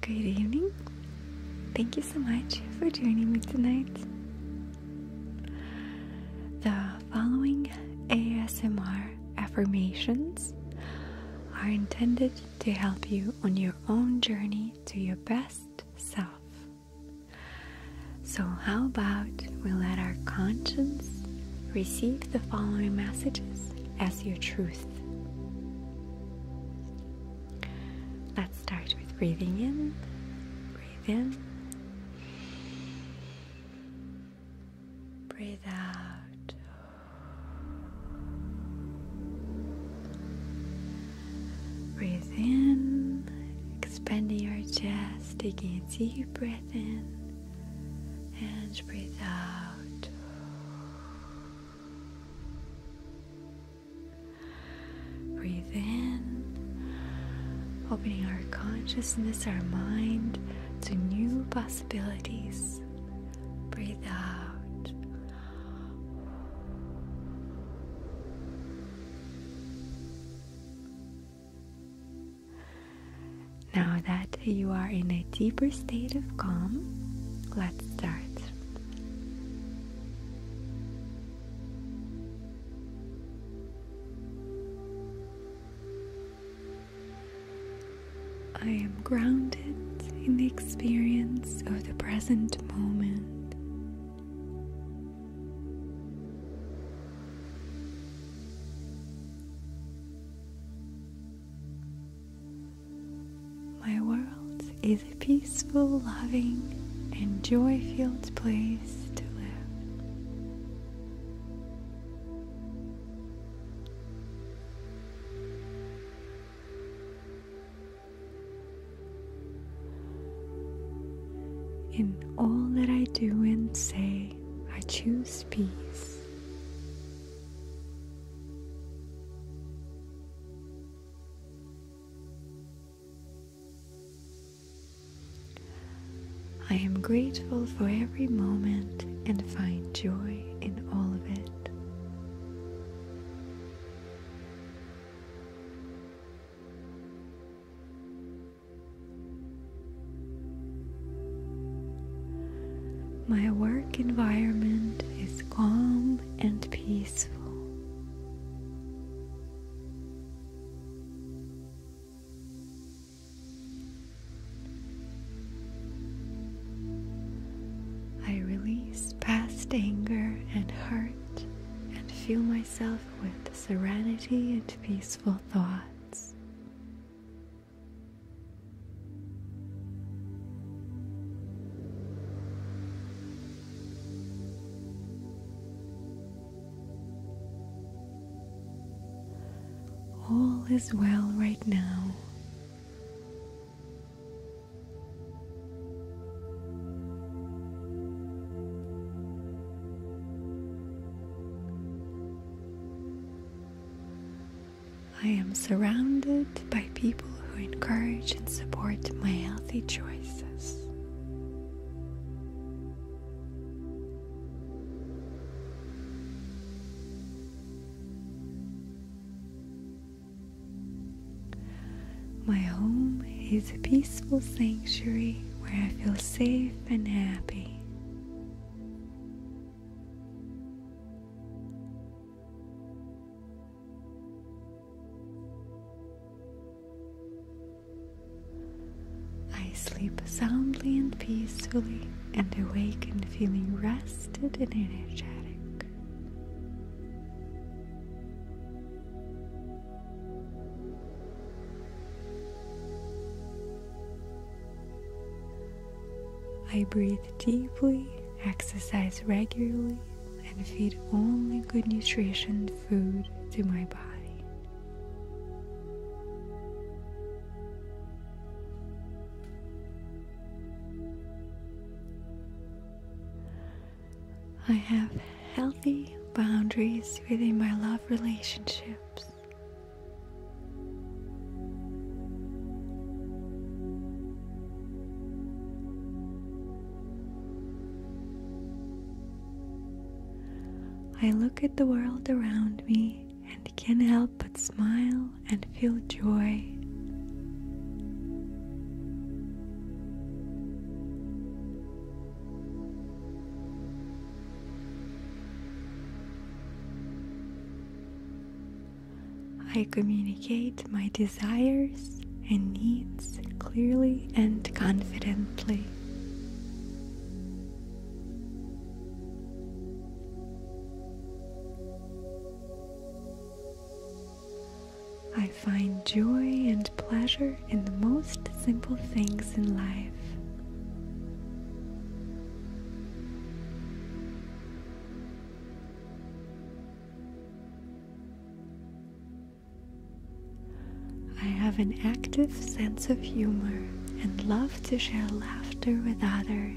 Good evening. Thank you so much for joining me tonight. The following ASMR affirmations are intended to help you on your own journey to your best self. So, how about we let our conscience receive the following messages as your truth? Let's start with breathing in, breathe in, breathe out. Breathe in, expanding your chest, taking a deep breath in and breathe out. Breathe in, opening our consciousness, our mind to new possibilities. Breathe out. Now that you are in a deeper state of calm, let's start. I am grounded in the experience of the present moment. My world is a peaceful, loving, and joy filled place to live. In all that I do and say, I choose peace. I am grateful for every moment and find joy in all of it. My work environment is calm and peaceful. I release past anger and hurt and fill myself with serenity and peaceful thought. All is well right now. I am surrounded by people who encourage and support my healthy choices. My home is a peaceful sanctuary where I feel safe and happy. I sleep soundly and peacefully and awaken feeling rested and energetic. I breathe deeply, exercise regularly, and feed only good nutrition food to my body. I have healthy boundaries within my love relationships. I look at the world around me and can't help but smile and feel joy. I communicate my desires and needs clearly and confidently. I find joy and pleasure in the most simple things in life. I have an active sense of humor and love to share laughter with others.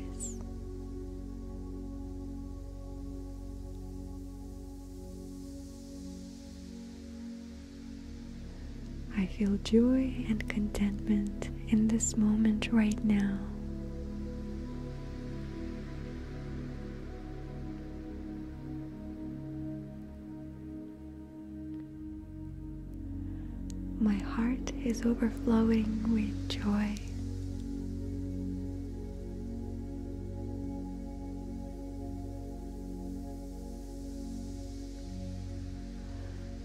I feel joy and contentment in this moment right now. My heart is overflowing with joy.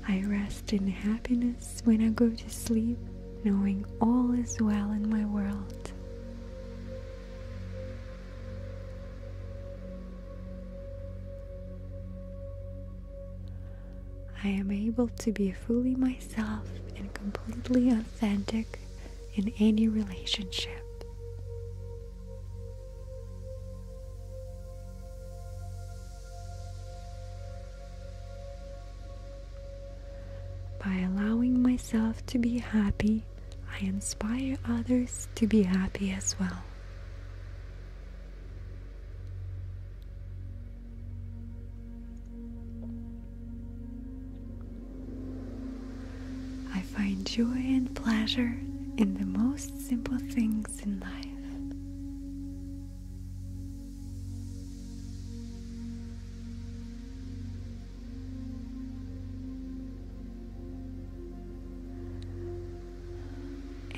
I rest in happiness when I go to sleep, knowing all is well in my world. I am able to be fully myself and completely authentic in any relationship. By allowing myself to be happy, I inspire others to be happy as well. I find joy and pleasure in the most simple things in life.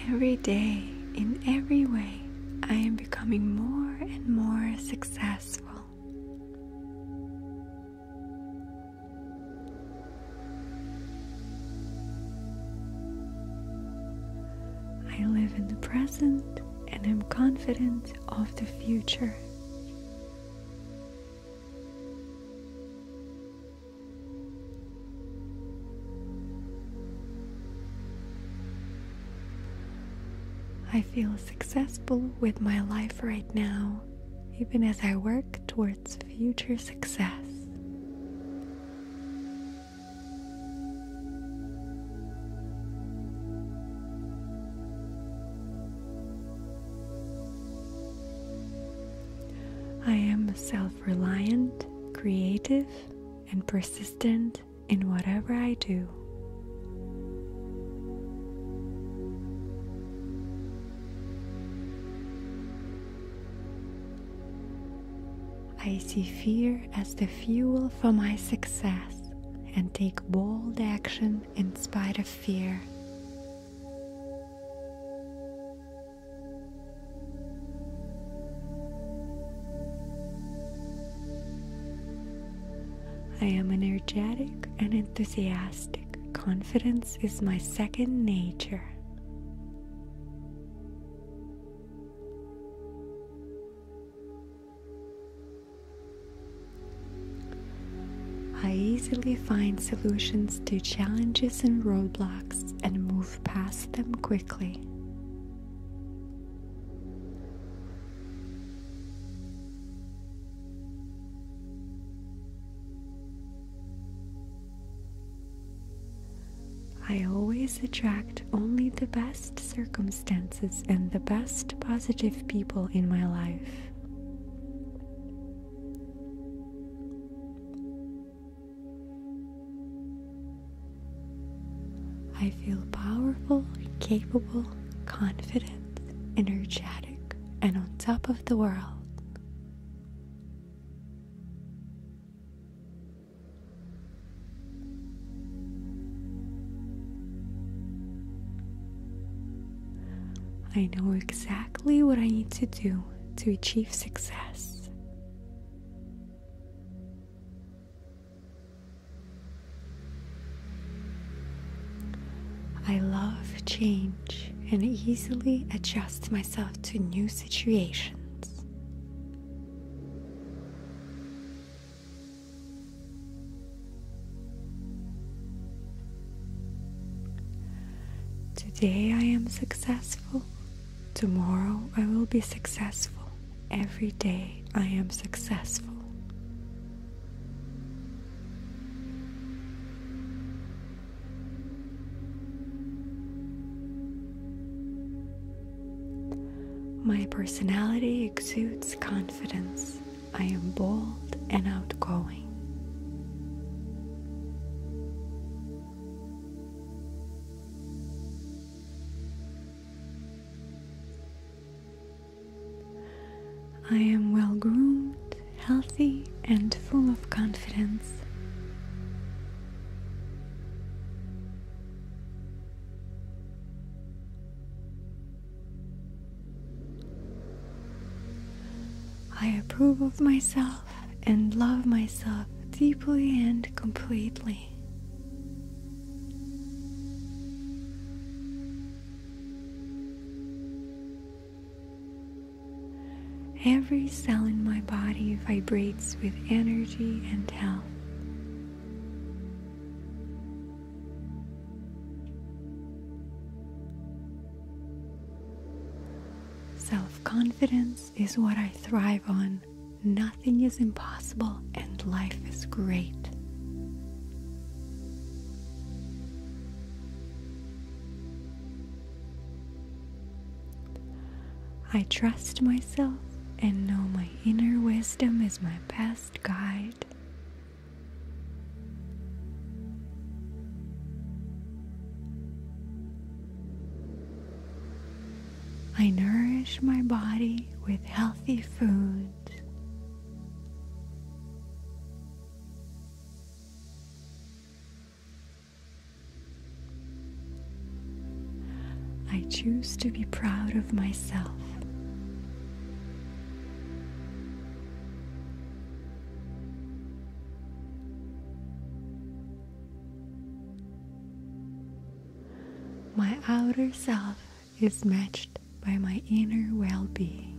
Every day, in every way, I am becoming more and more successful. I live in the present and am confident of the future. I feel successful with my life right now, even as I work towards its future success. I am self reliant, creative, and persistent in whatever I do. I see fear as the fuel for my success and take bold action in spite of fear. I am energetic and enthusiastic. Confidence is my second nature. I easily find solutions to challenges and roadblocks and move past them quickly. I always attract only the best circumstances and the best positive people in my life. I feel powerful, capable, confident, energetic, and on top of the world. I know exactly what I need to do to achieve success. I love change and easily adjust myself to new situations. Today I am successful, tomorrow I will be successful, every day I am successful. My personality exudes confidence. I am bold and outgoing. I am well groomed, healthy, and full of confidence. I approve of myself and love myself deeply and completely. Every cell in my body vibrates with energy and health. Self confidence is what I thrive on. Nothing is impossible and life is great. I trust myself and know my inner wisdom is my best guide. I nourish my body with healthy food. I choose to be proud of myself. My outer self is matched by my inner well being.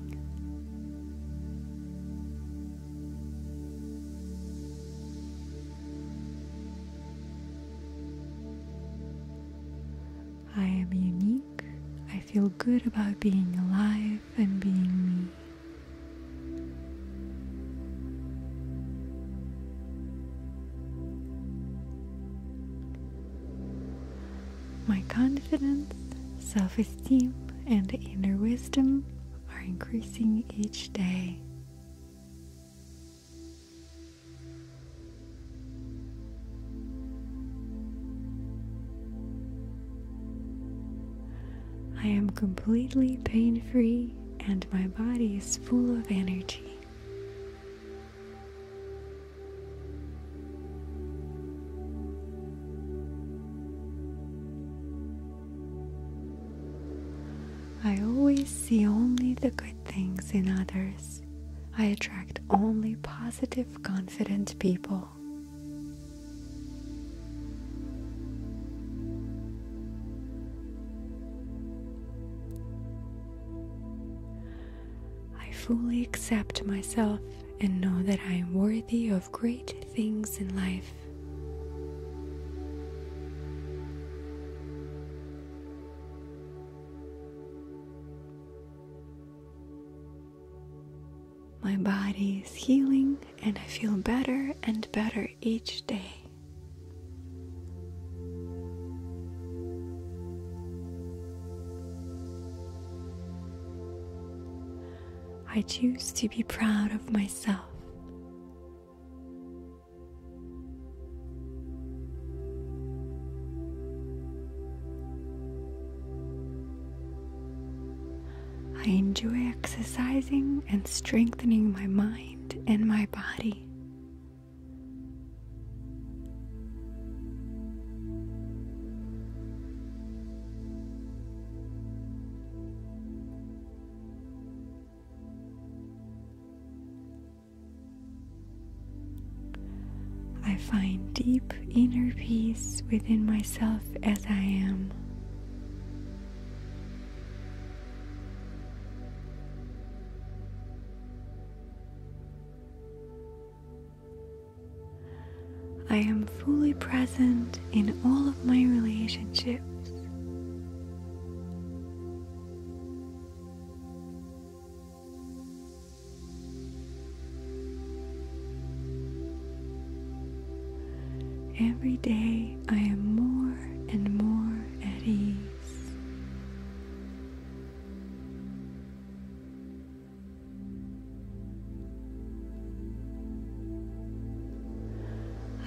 I am unique. I feel good about being alive and being me. My confidence, self esteem, and inner wisdom are increasing each day. I am completely pain free and my body is full of energy. I always see only the good things in others. I attract only positive, confident people. I fully accept myself and know that I am worthy of of great things in life. My body is healing and I feel better and better each day. I choose to be proud of myself I enjoy exercising and strengthening my mind and my body. I find deep inner peace within myself as I am. I am fully present in all of my relationships. Every day I am more and more at ease.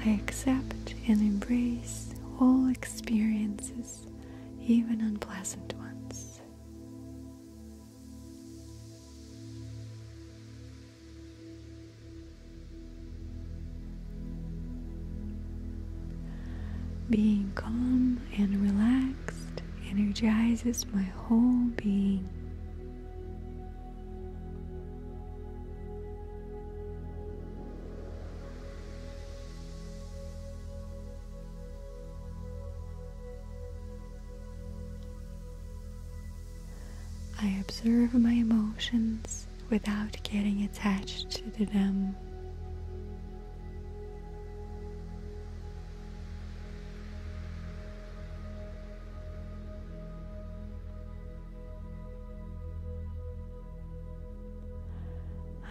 I accept and embrace all experiences, even unpleasant ones. Being calm and relaxed energizes my whole being. I observe my emotions without getting attached to them.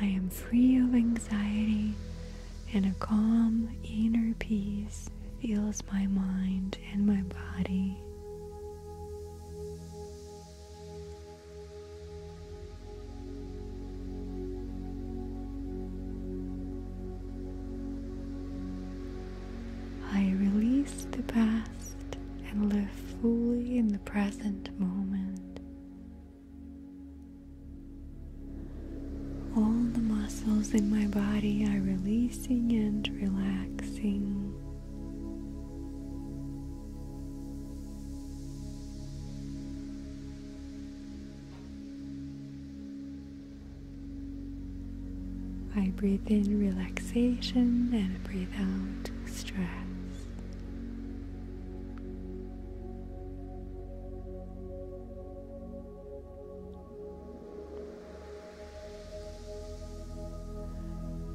I am free of anxiety and a calm inner peace fills my mind and my body. I release the past and live fully in the present moment. All the muscles in my body are releasing and relaxing. I breathe in relaxation and I breathe out stress.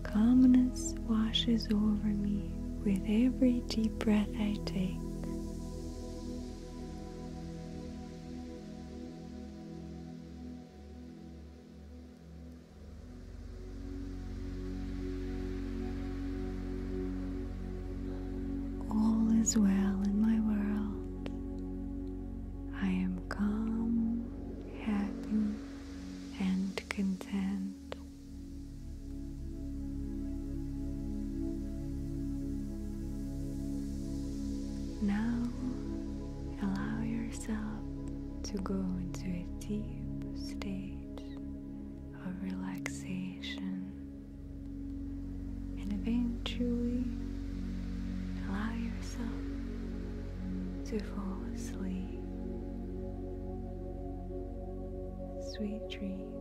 Calmness washes over me with every deep breath I take. All is well in my world. I am calm, happy, and content. Now allow yourself to go into a deep state of relaxation and eventually allow yourself to fall asleep. Sweet dreams.